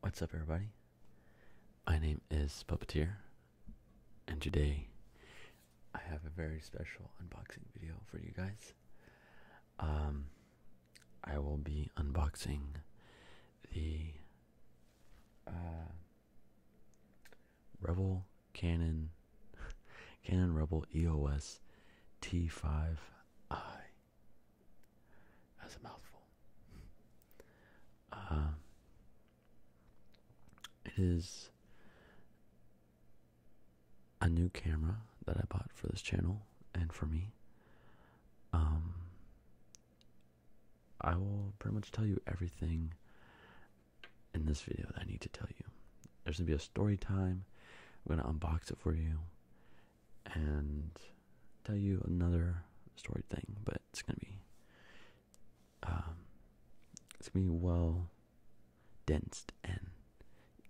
What's up, everybody? My name is Puppeteer, and today I have a very special unboxing video for you guys. Um, I will be unboxing the uh, Rebel Canon Canon Rebel EOS T5i. That's a mouthful. Um, it is a new camera that I bought for this channel and for me. Um, I will pretty much tell you everything in this video that I need to tell you. There's gonna be a story time. I'm gonna unbox it for you and tell you another story thing, but it's gonna be um, it's gonna be well densed and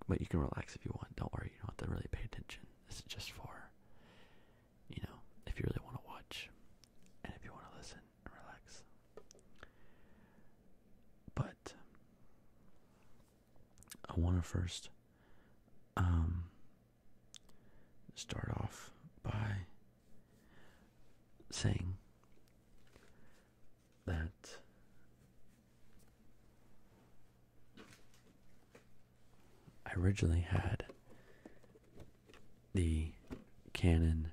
but you can relax if you want. Don't worry, you don't have to really pay attention. This is just for you know if you really want to watch and if you want to listen and relax. But I want to first um start off by saying that I originally had the Canon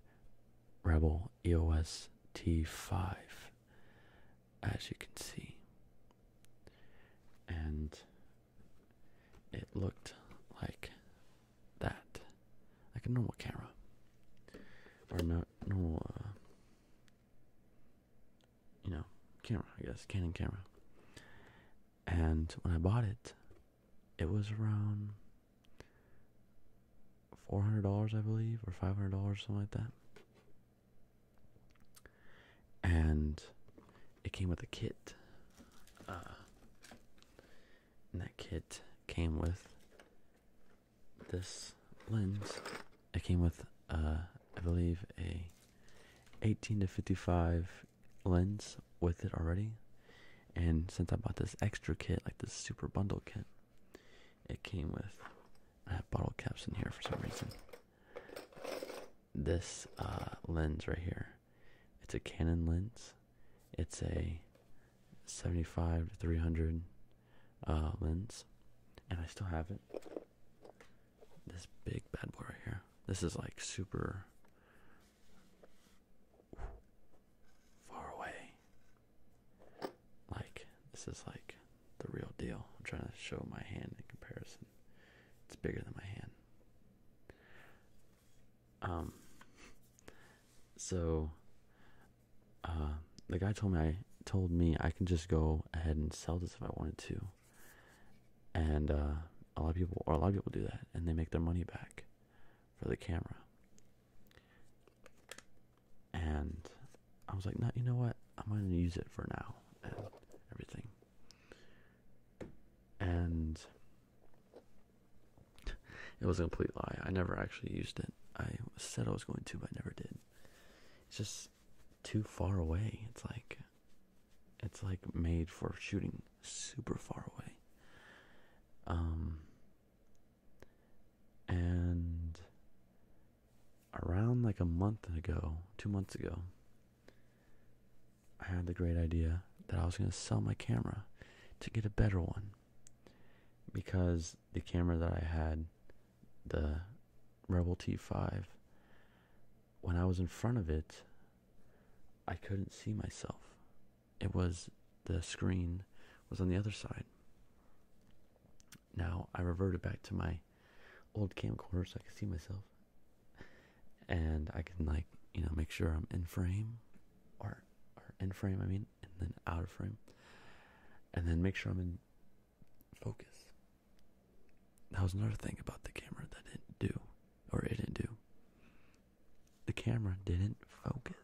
Rebel EOS T5, as you can see, and it looked like that, like a normal camera, or not normal, uh, you know, camera. I guess Canon camera. And when I bought it, it was around four hundred dollars, I believe, or five hundred dollars, something like that and it came with a kit. Uh, and that kit came with this lens. It came with, uh, I believe, a 18 to 55 lens with it already. And since I bought this extra kit, like this super bundle kit, it came with. I have bottle caps in here for some reason this uh, lens right here. It's a Canon lens. It's a 75 to 300 uh, lens, and I still have it. This big bad boy right here. This is like super far away. Like this is like the real deal. I'm trying to show my hand in comparison. It's bigger than my hand. Um. So, uh, the guy told me I told me I can just go ahead and sell this if I wanted to. And uh, a lot of people, or a lot of people, do that, and they make their money back for the camera. And I was like, no, you know what? I'm gonna use it for now and everything and it was a complete lie. I never actually used it. I said I was going to, but I never did. It's just too far away. It's like it's like made for shooting super far away. Um and around like a month ago, two months ago, I had the great idea that I was going to sell my camera to get a better one because the camera that I had, the Rebel T5, when I was in front of it, I couldn't see myself. It was the screen was on the other side. Now I reverted back to my old camcorder so I can see myself. And I can like, you know, make sure I'm in frame or or in frame I mean and then out of frame. And then make sure I'm in focus. That was another thing about the camera that didn't do. Or it didn't do. The camera didn't focus.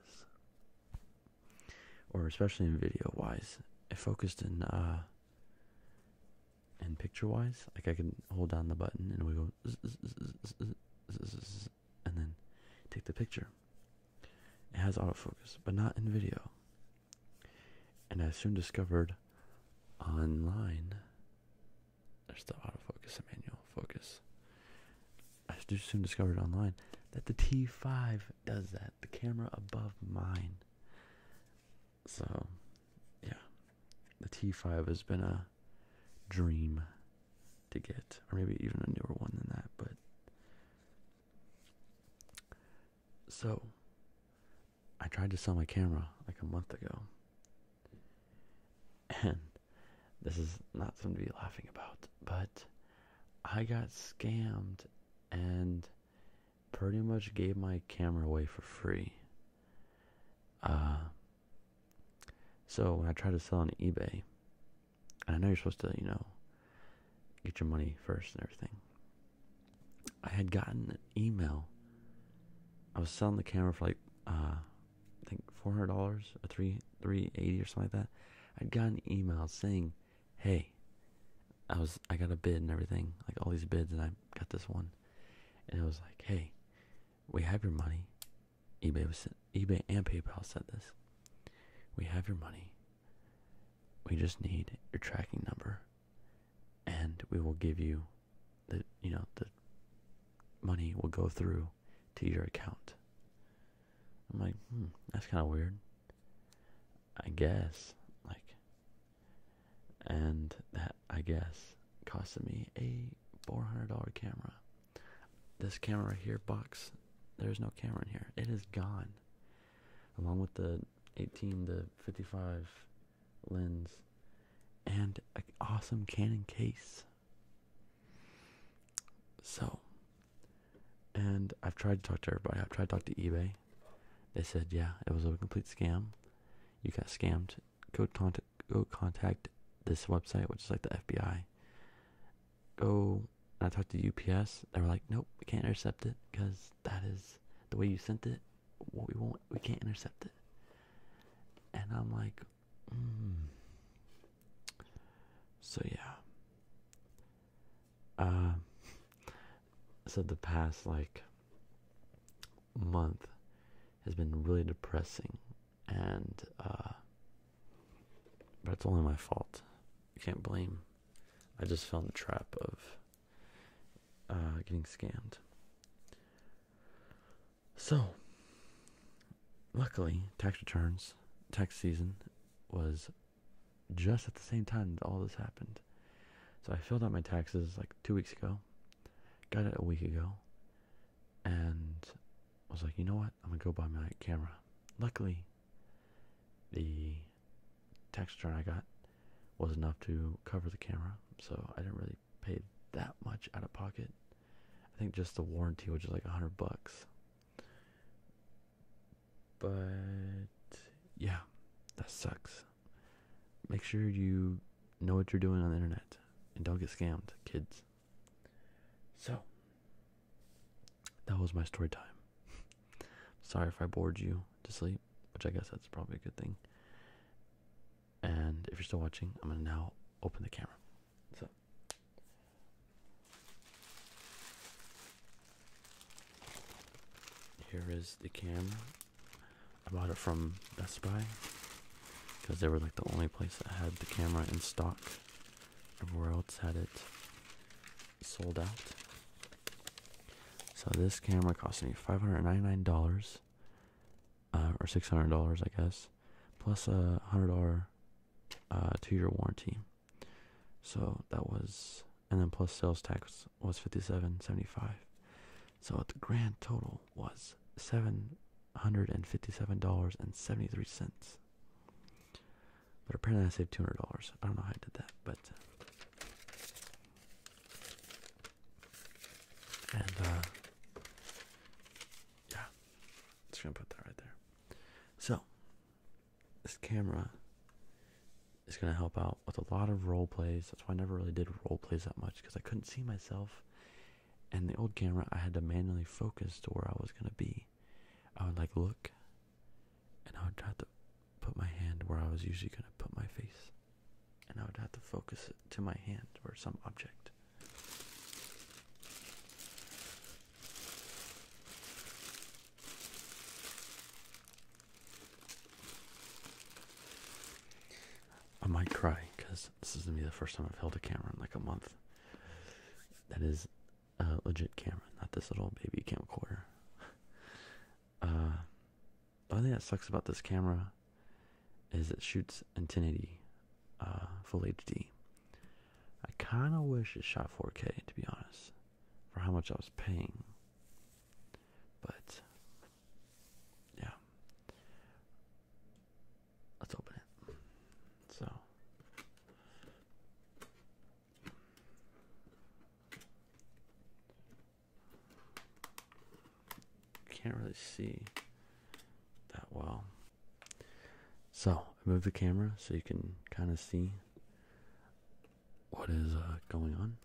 Or especially in video wise. It focused in uh and picture wise like i can hold down the button and we go and then take the picture it has autofocus but not in video and i soon discovered online there's still autofocus and manual focus i soon discovered online that the t5 does that the camera above mine so, yeah, the T5 has been a dream to get, or maybe even a newer one than that. But so, I tried to sell my camera like a month ago, and this is not something to be laughing about, but I got scammed and pretty much gave my camera away for free. Uh, so when I tried to sell on eBay, and I know you're supposed to, you know, get your money first and everything. I had gotten an email. I was selling the camera for like, uh, I think four hundred dollars or three three eighty or something like that. I'd gotten an email saying, "Hey, I was I got a bid and everything, like all these bids, and I got this one." and it was like, "Hey, we have your money." eBay was eBay and PayPal said this. We have your money. We just need your tracking number, and we will give you the you know the money will go through to your account. I'm like, hmm, that's kind of weird. I guess, like, and that I guess costed me a four hundred dollar camera. This camera right here, box. There's no camera in here. It is gone, along with the eighteen to fifty five lens, and an awesome Canon case. So, and I've tried to talk to everybody. I've tried to talk to eBay. They said, yeah, it was a complete scam you got scammed, go contact go contact this website, which is like the FBI. Go I talked to UPS. They were like, nope, we can't intercept it because that is the way you sent it. What we want, we can't intercept it. And I'm like, hmm. so yeah. Uh, so the past like month has been really depressing and but uh, it's only my fault i can't blame i just fell in the trap of uh, getting scammed so luckily tax returns tax season was just at the same time that all this happened so I filled out my taxes like two weeks ago, got it a week ago, and was like, you know what? I'm gonna go buy my camera. Luckily, the tax return I got was enough to cover the camera, so I didn't really pay that much out of pocket. I think just the warranty, which is like a hundred bucks. But yeah, that sucks make sure you know what you're doing on the internet and don't get scammed, kids. So, that was my story time. Sorry if I bored you to sleep, which I guess that's probably a good thing. And if you're still watching, I'm going to now open the camera. So, here is the camera I bought it from Best Buy because they were like the only place that had the camera in stock. Everywhere else had it sold out. So this camera cost me $599 uh, or $600, I guess, plus a $100 uh, two year warranty. So that was, and then plus sales tax was 57.75 so the grand total was $757.73 but apparently i saved $200 i don't know how i did that but uh, and uh, yeah just gonna put that right there so this camera it's going to help out with a lot of role plays. That's why I never really did role plays that much because I couldn't see myself. And the old camera, I had to manually focus to where I was going to be. I would like look and I would try to put my hand where I was usually going to put my face. And I would have to focus to my hand or some object. I might cry because this is gonna be the first time I've held a camera in like a month. That is a legit camera, not this little baby camcorder. Uh, the only thing that sucks about this camera is it shoots in 1080 uh, full HD. I kind of wish it shot 4K to be honest, for how much I was paying. But yeah. Let's open it. So can't really see that well. So I move the camera so you can kind of see what is uh, going on.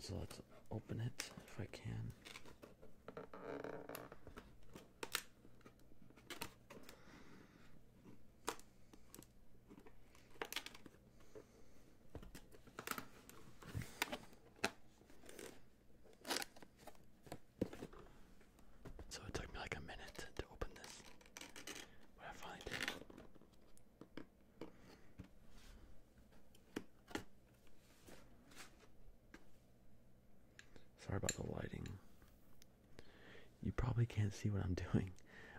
So let's open it if I can. So it took me like a minute to open this. But I finally it. Sorry about the lighting. You probably can't see what I'm doing,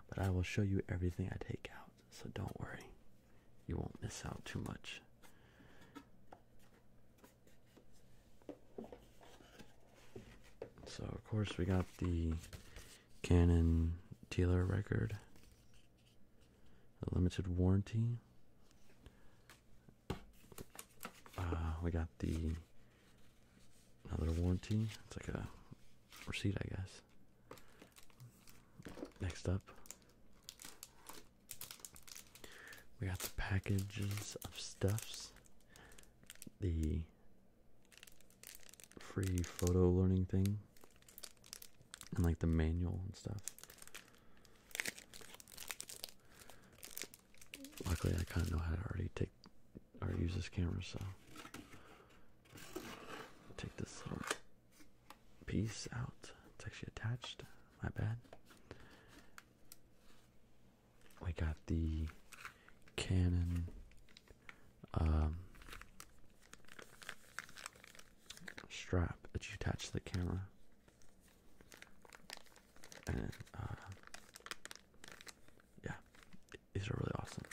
but I will show you everything I take out, so don't worry. You won't miss out too much. So of course we got the Canon Taylor record, a limited warranty. Uh, we got the another warranty. It's like a receipt, I guess. Next up, we got the packages of stuffs. The free photo learning thing and like the manual and stuff. Luckily, I kind of know how to already take or use this camera, so take this little piece out. It's actually attached. My bad. We got the Canon um, strap that you attach to the camera, and uh, yeah, these are really awesome.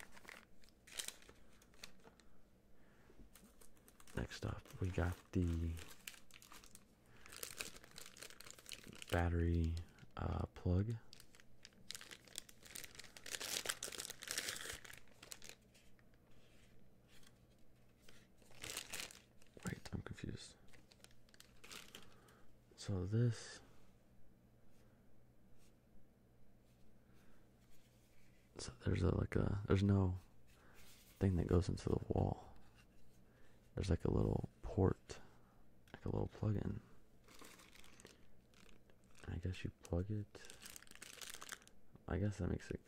Next up, we got the battery uh, plug Wait, I'm confused. So this So there's a like a there's no thing that goes into the wall. There's like a little port like a little plug-in. I guess you plug it. I guess that makes it.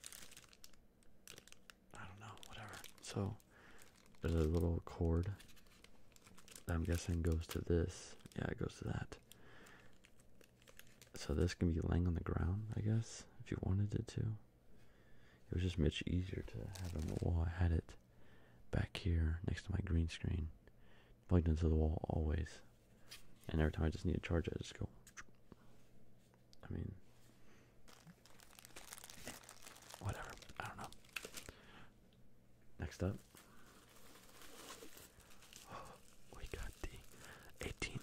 I don't know, whatever. So there's a little cord. I'm guessing goes to this. Yeah, it goes to that. So this can be laying on the ground, I guess, if you wanted it to. It was just much easier to have it while I had it back here next to my green screen plugged into the wall always. And every time I just need to charge it, I just go. I mean, whatever. I don't know. Next up, we got the 18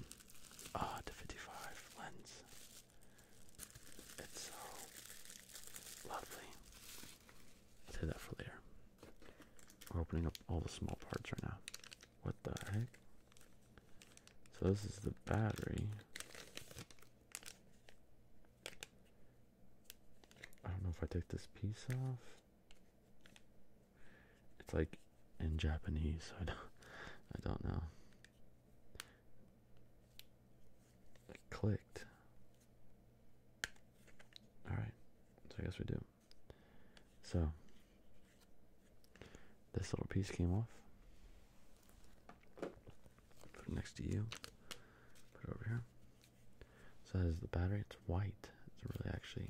uh, to 55 lens. It's so lovely i that for later. We're opening up all the small parts right now. What the heck? So this is the battery. I don't know if I take this piece off. It's like in Japanese, so I don't, I don't know clicked. Alright, so I guess we do. So, this little piece came off. Put it next to you. Put it over here. So is the battery. It's white. It's really actually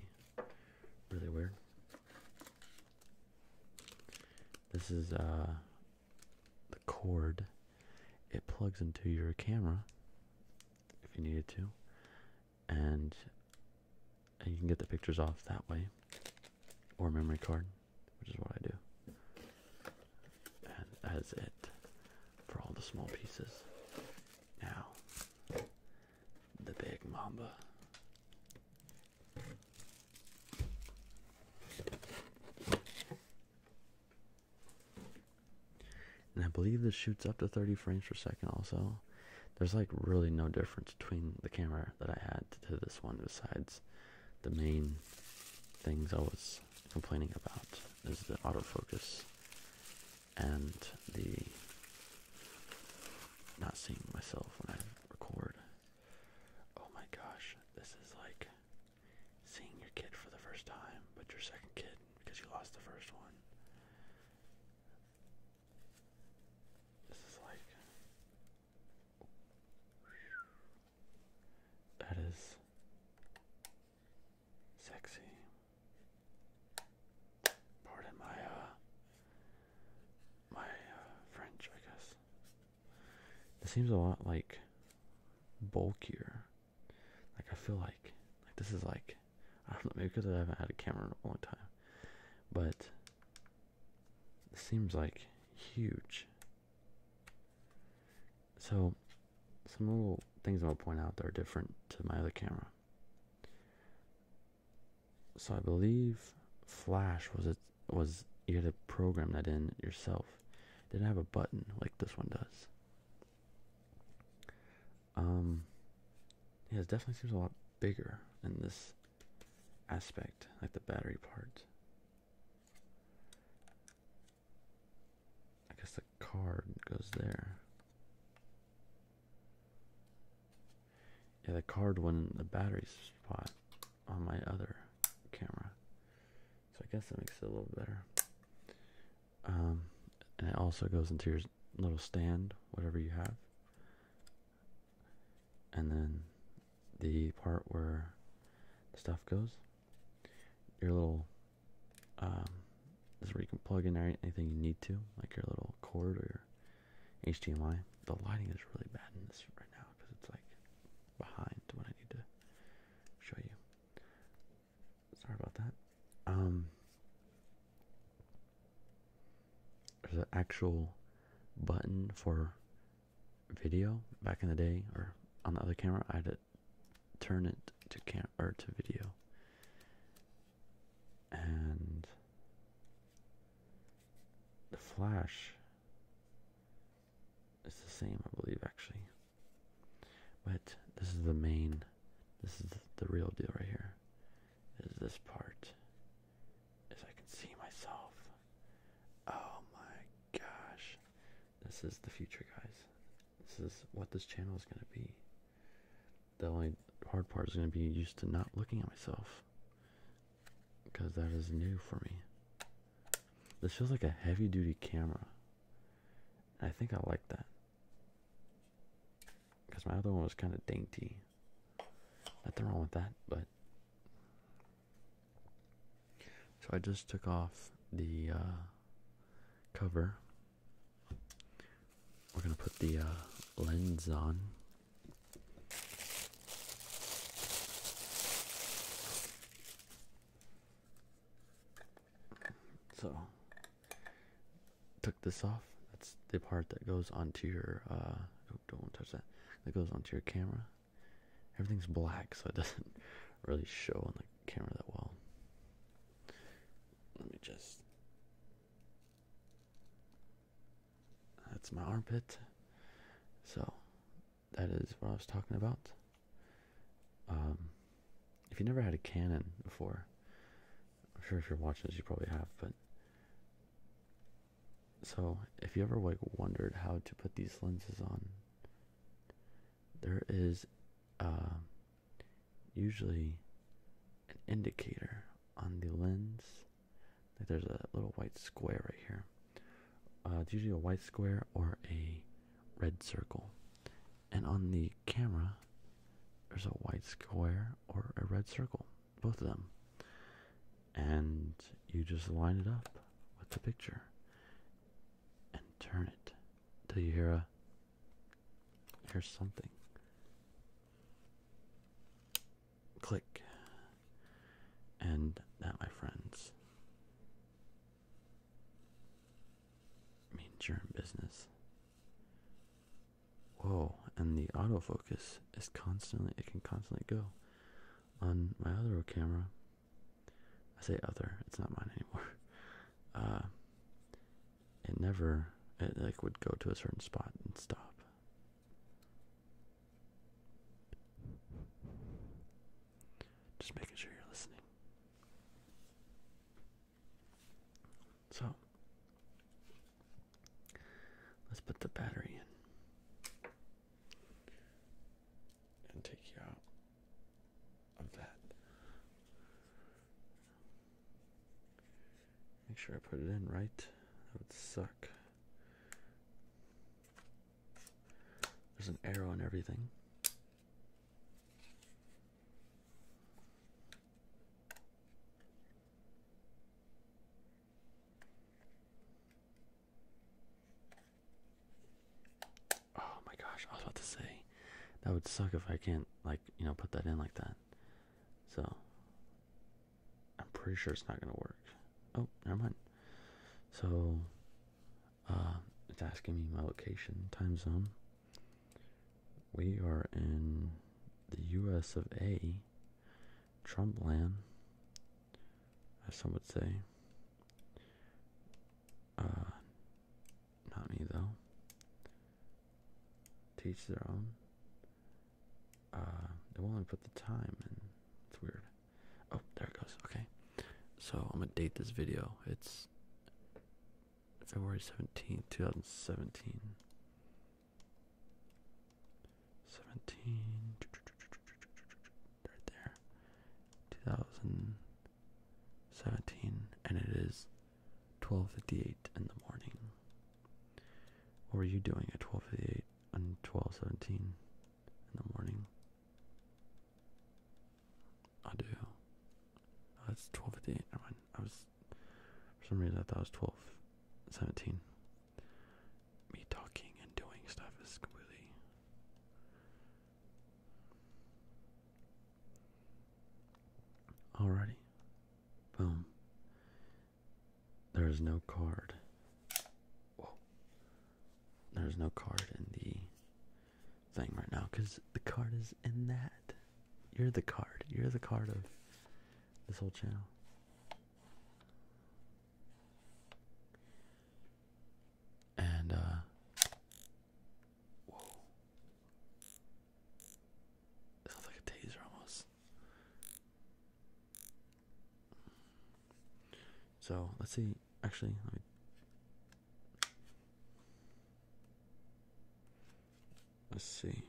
really weird. This is uh, the cord. It plugs into your camera if you needed to, and you can get the pictures off that way, or memory card, which is what I do. And that is it for all the small pieces. Now, the big mamba. And I believe this shoots up to 30 frames per second also. There's like really no difference between the camera that I had to this one besides the main things I was complaining about is the autofocus and the not seeing myself when I record. Oh my gosh, this is like seeing your kid for the first time, but your second kid because you lost the first one. This is like. That is sexy. Pardon my uh, my uh, French, I guess. This seems a lot like bulkier. Like I feel like like this is like I don't know maybe because I haven't had a camera in a long time, but it seems like huge. So some little things I'm gonna point out that are different to my other camera. So I believe Flash was it was you had to program that in yourself. didn't have a button like this one does. Um, yeah, it definitely seems a lot bigger in this aspect, like the battery part. I guess the card goes there. Yeah, the card went in the battery spot on my other camera. So I guess that makes it a little better. Um, and it also goes into your little stand, whatever you have. And then the part where the stuff goes, your little, um, is where you can plug in anything you need to, like your little cord or your HDMI. The lighting is really bad in this right now because it's like behind what I need to show you. Sorry about that. Um, there's an actual button for video. Back in the day, or on the other camera, I had to turn it to cam or to video. And the flash is the same, I believe, actually. But this is the main, this is the real deal right here. Is this part? Is I can see myself. Oh my gosh. This is the future, guys. This is what this channel is going to be. The only hard part is going to be used to not looking at myself. Because that is new for me. This feels like a heavy duty camera. I think I like that. Because my other one was kind of dainty. Nothing wrong with that, but. So I just took off the uh, cover. We're going to put the uh, lens on. So took this off. That's the part that goes onto your uh oh, don't want to touch that. That goes onto your camera. Everything's black, so it doesn't really show on the camera that well. Let me just That's my armpit. So that is what I was talking about. Um, if you never had a Canon before, I'm sure if you're watching this, you probably have. But so, if you ever like wondered how to put these lenses on, there is uh, usually an indicator on the lens. Like there's a little white square right here. Uh, it's usually a white square or a red circle, and on the camera, there's a white square or a red circle, both of them, and you just line it up with the picture and turn it till you hear a hear something. Click, and that, my friends, I you're in business. Whoa, and the autofocus is constantly, it can constantly go. On my other camera, I say other, it's not mine anymore. Uh, it never, it like would go to a certain spot and stop. Just making sure you're listening. So, let's put the battery in and take you out of that. Make sure I put it in right. That would suck. There's an arrow and everything. Oh my gosh, I was about to say that would suck if I can't like, you know, put that in like that. So I'm pretty sure it's not gonna work. Oh, never mind. So uh, it's asking me my location, time zone. We are in the U.S. of A. Trump land, as some would say. Uh, not me though. Teach their own. Uh, they won't even put the time in. It's weird. Oh, there it goes. Okay. So I'm gonna date this video. It's February 17th, 2017. 17 right there. 2017 and it is 12:58 in the morning. What were you doing at 12:58 and 12:17 in the morning? I do. Oh, that's twelve fifty eight. Never mind. I was for some reason I thought it was twelve seventeen. Me talking and doing stuff is completely Alrighty. Boom. There is no card. Whoa. There's no card in the thing right now because the card is in that. You're the card. You're the card of this whole channel. And, uh, Whoa. sounds like a taser almost. So, let's see. Actually, Let's see.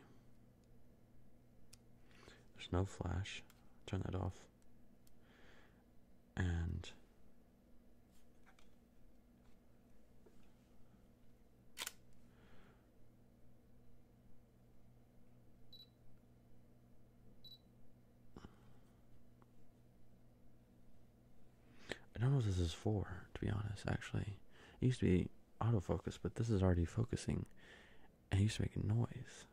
There's no flash. Turn that off. And I don't know what this is for, to be honest, actually. It used to be autofocus, but this is already focusing and it used to make a noise.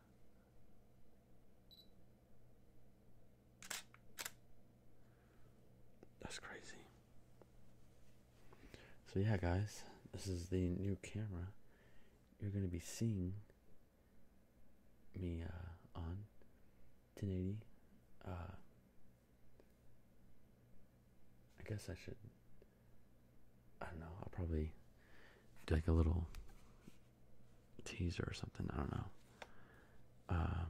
That's crazy. So yeah guys, this is the new camera. You're gonna be seeing me uh, on 1080. Uh, I guess I should. I don't know. I'll probably do like a little teaser or something. I don't know. Uh,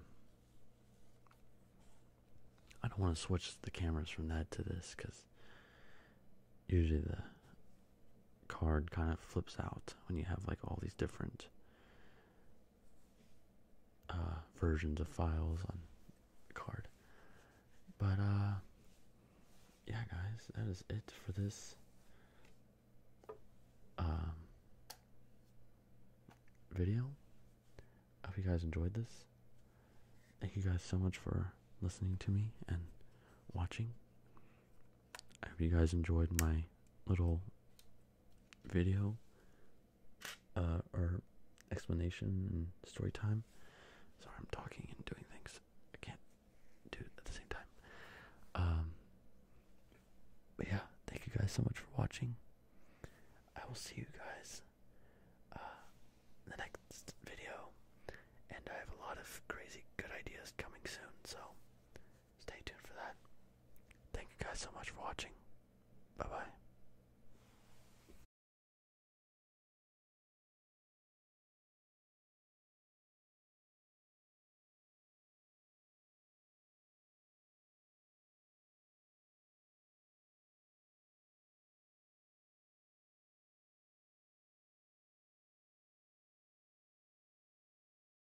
I don't want to switch the cameras from that to this because usually the card kind of flips out when you have like all these different uh, versions of files on card. But uh, yeah, guys, that is it for this um, video. I hope you guys enjoyed this. Thank you guys so much for listening to me and watching. I hope you guys enjoyed my little video uh, or explanation and story time. Sorry, I'm talking and doing things I can't do at the same time. Um, but yeah, thank you guys so much for watching. I will see you guys uh, the next video, and I have a lot of crazy good ideas coming soon. So stay tuned for that. Thank you guys so much for watching. Bye bye.